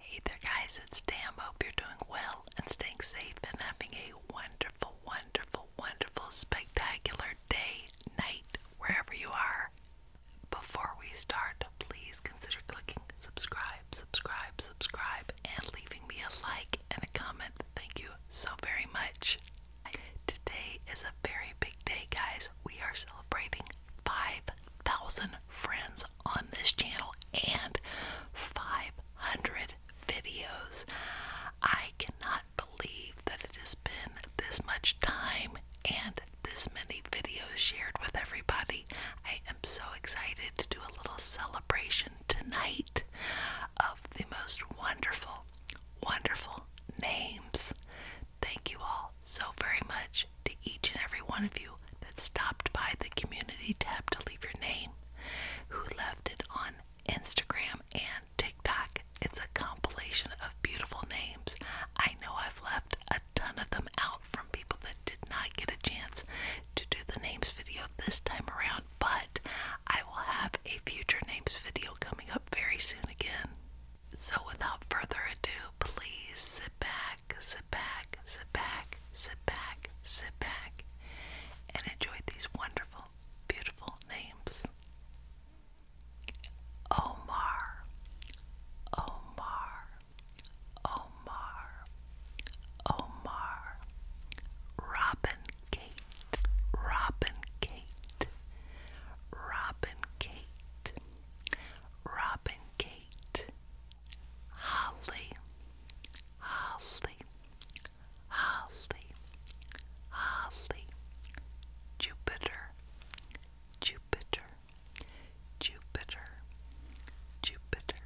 Hey there, guys, it's Tam. Hope you're doing well and staying safe and having a wonderful, wonderful, wonderful, spectacular day, night, wherever you are. Before we start, please consider clicking subscribe, subscribe, subscribe, and leaving me a like and a comment. Thank you so very much. Today is a very big day, guys. We are celebrating 5,000 friends on this channel and 500 videos. I cannot believe that it has been this much time and this many videos shared with everybody. I am so excited to do a little celebration tonight of the most wonderful, wonderful names. Thank you all so very much to each and every one of you that stopped by the community tab to leave your name, who left it on Instagram and TikTok. It's a compilation of beautiful names. I know I've left a ton of them out from people that did not get a chance to do the names video this time around, but I will have a future names video coming up very soon again. So, without further ado, please sit back sit back, sit back, sit back, sit back, and enjoy these wonderful, beautiful names. Omar, Omar, Omar, Omar, Robin Kate, Robin Kate, Robin Kate, Robin Kate, Holly, Holly, Holly, Holly, Jupiter, Jupiter, Jupiter, Jupiter,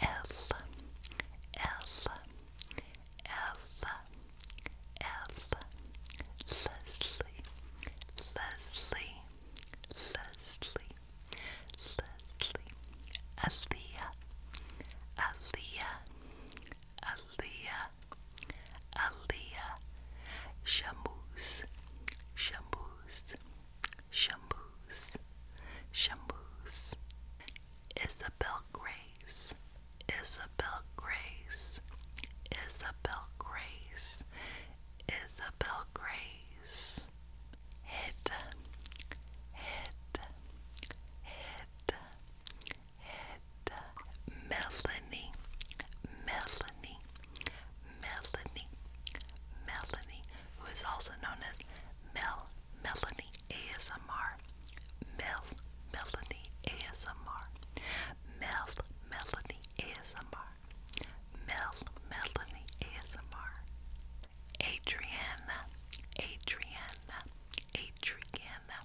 L, L, L, L, Leslie, Leslie, Leslie, Leslie, Aaliyah, Aaliyah, Aaliyah, Aaliyah, Shamus, Shamus, Shamus, Shamus, Isabel Grace, Isabel Grace, Isabel Grace, Isabel Grace head, head, head, head, Melanie, Melanie, Melanie, Melanie, who is also known as Mel Melanie ASMR. Mel Melanie ASMR. Mel Melanie ASMR. Mel Melanie ASMR, Adriana, Adriana, Adriana,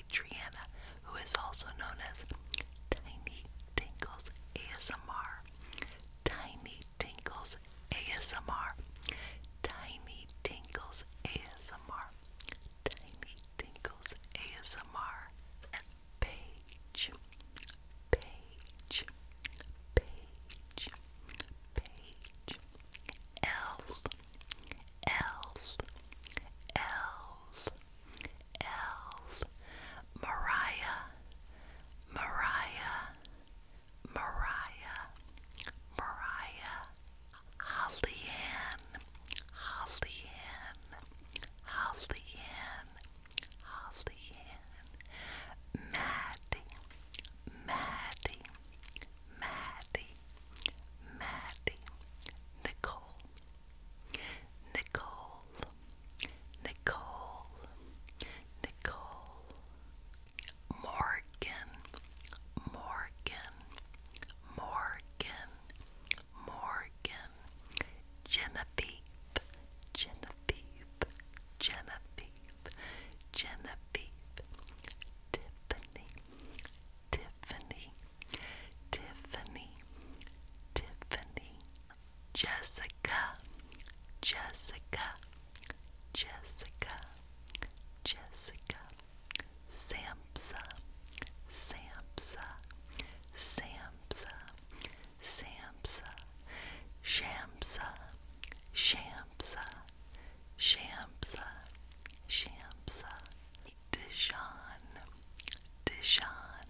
Adriana, who is also known as Tiny Tinkles ASMR, Tiny Tinkles ASMR, Tiny Tinkles ASMR, Tiny Tinkles ASMR, Paige, Page, Page, Page, L's, L's, L's, L's, Mariah, Mariah, Mariah, Mariah, Holly Ann, Holly Ann, Holly Ann, Holly Ann, Maddie, Maddie, Maddie, Maddie, Nicole, Nicole, Nicole, Nicole, Morgan, Morgan, Morgan, Morgan, Genevieve, Genevieve. Genevieve, Genevieve, Genevieve, Tiffany, Tiffany, Tiffany, Tiffany, Jessica, Jessica, Jessica, Jessica, Samsa, Samsa, Samsa, Samsa, Shamsa, Shamsa, Shamsa, Shamsa, Dijon, Dijon,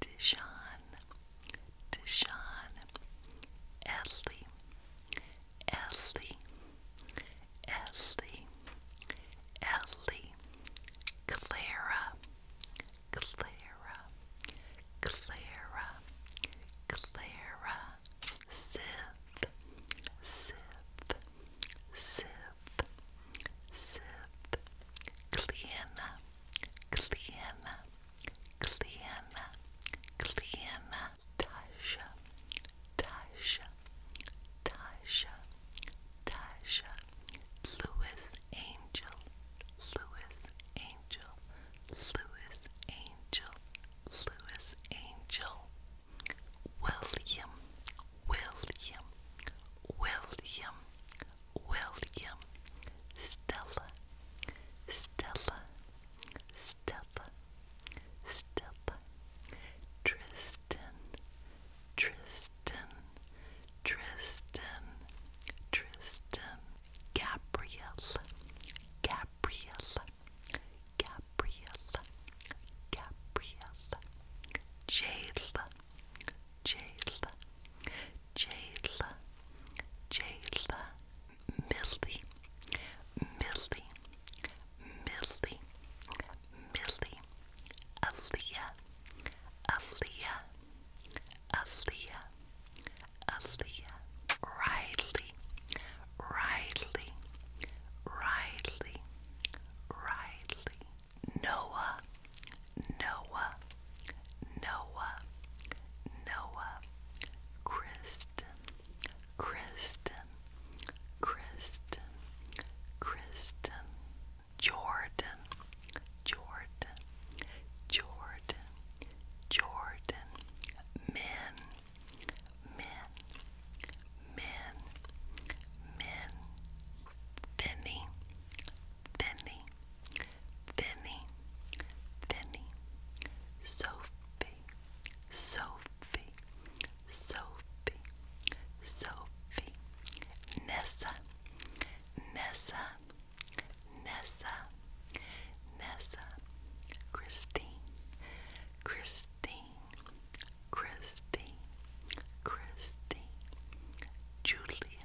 Dijon, Dijon, Ellie, Ellie, Ellie, Ellie, Clara, Clara, Clara, Clara, Sip, Sip, Sip, Sip, Cleana, Cleana, Cleana, Cleana, Tasha, Tasha, Tasha, Tasha, Lewis Angel, Lewis Angel. Louis Angel, Louis Angel, William, William, William, William, Stella, Stella, Stella, Stella, Tristan, Tristan, Tristan, Tristan. Gabriel, Gabriel, Gabrielle, Gabrielle, Jayla, Jayla, Jayla, Jayla, Millie, Millie, Millie, Millie, Aaliyah, Aaliyah. Aaliyah, Aaliyah, Riley, Riley, Riley, Riley, Noah, Noah, Noah, Noah, Kristen, Kristen, Kristen, Kristen, Jordan, Jordan, Jordan. Jordan, men, men, men, men, Finny, Finny, Finny, Finny, Sophie, Sophie, Sophie, Sophie, Nessa, Nessa. Nessa, Nessa, Christine, Christine, Christine, Christine, Julia,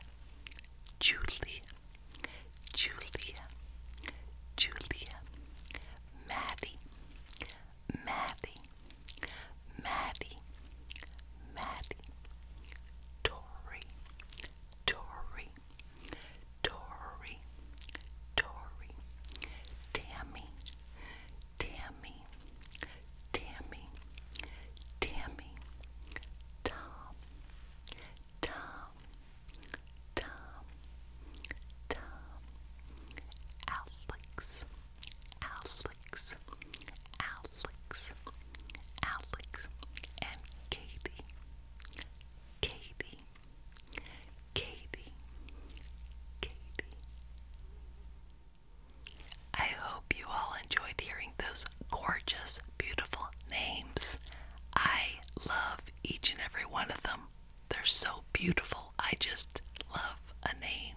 Julia, Julia, Julia, Maddie, Maddie, Maddie, Maddie, Dory, Dory, Dory, Dory, Dory, Tammy, Tammy, Tammy, Tammy, Tom, Tom, Tom, Tom, Alex, Alex, Alex, Alex, and Katie. Katie, Katie, Katie. I hope you all enjoyed hearing those gorgeous, beautiful names. I love each and every one of them. They're so beautiful. I just love a name.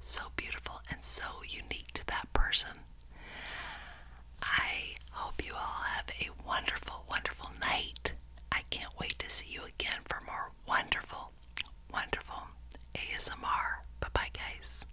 So beautiful and so unique to that person. I hope you all have a wonderful, wonderful night. I can't wait to see you again for more wonderful, wonderful ASMR. Bye bye, guys.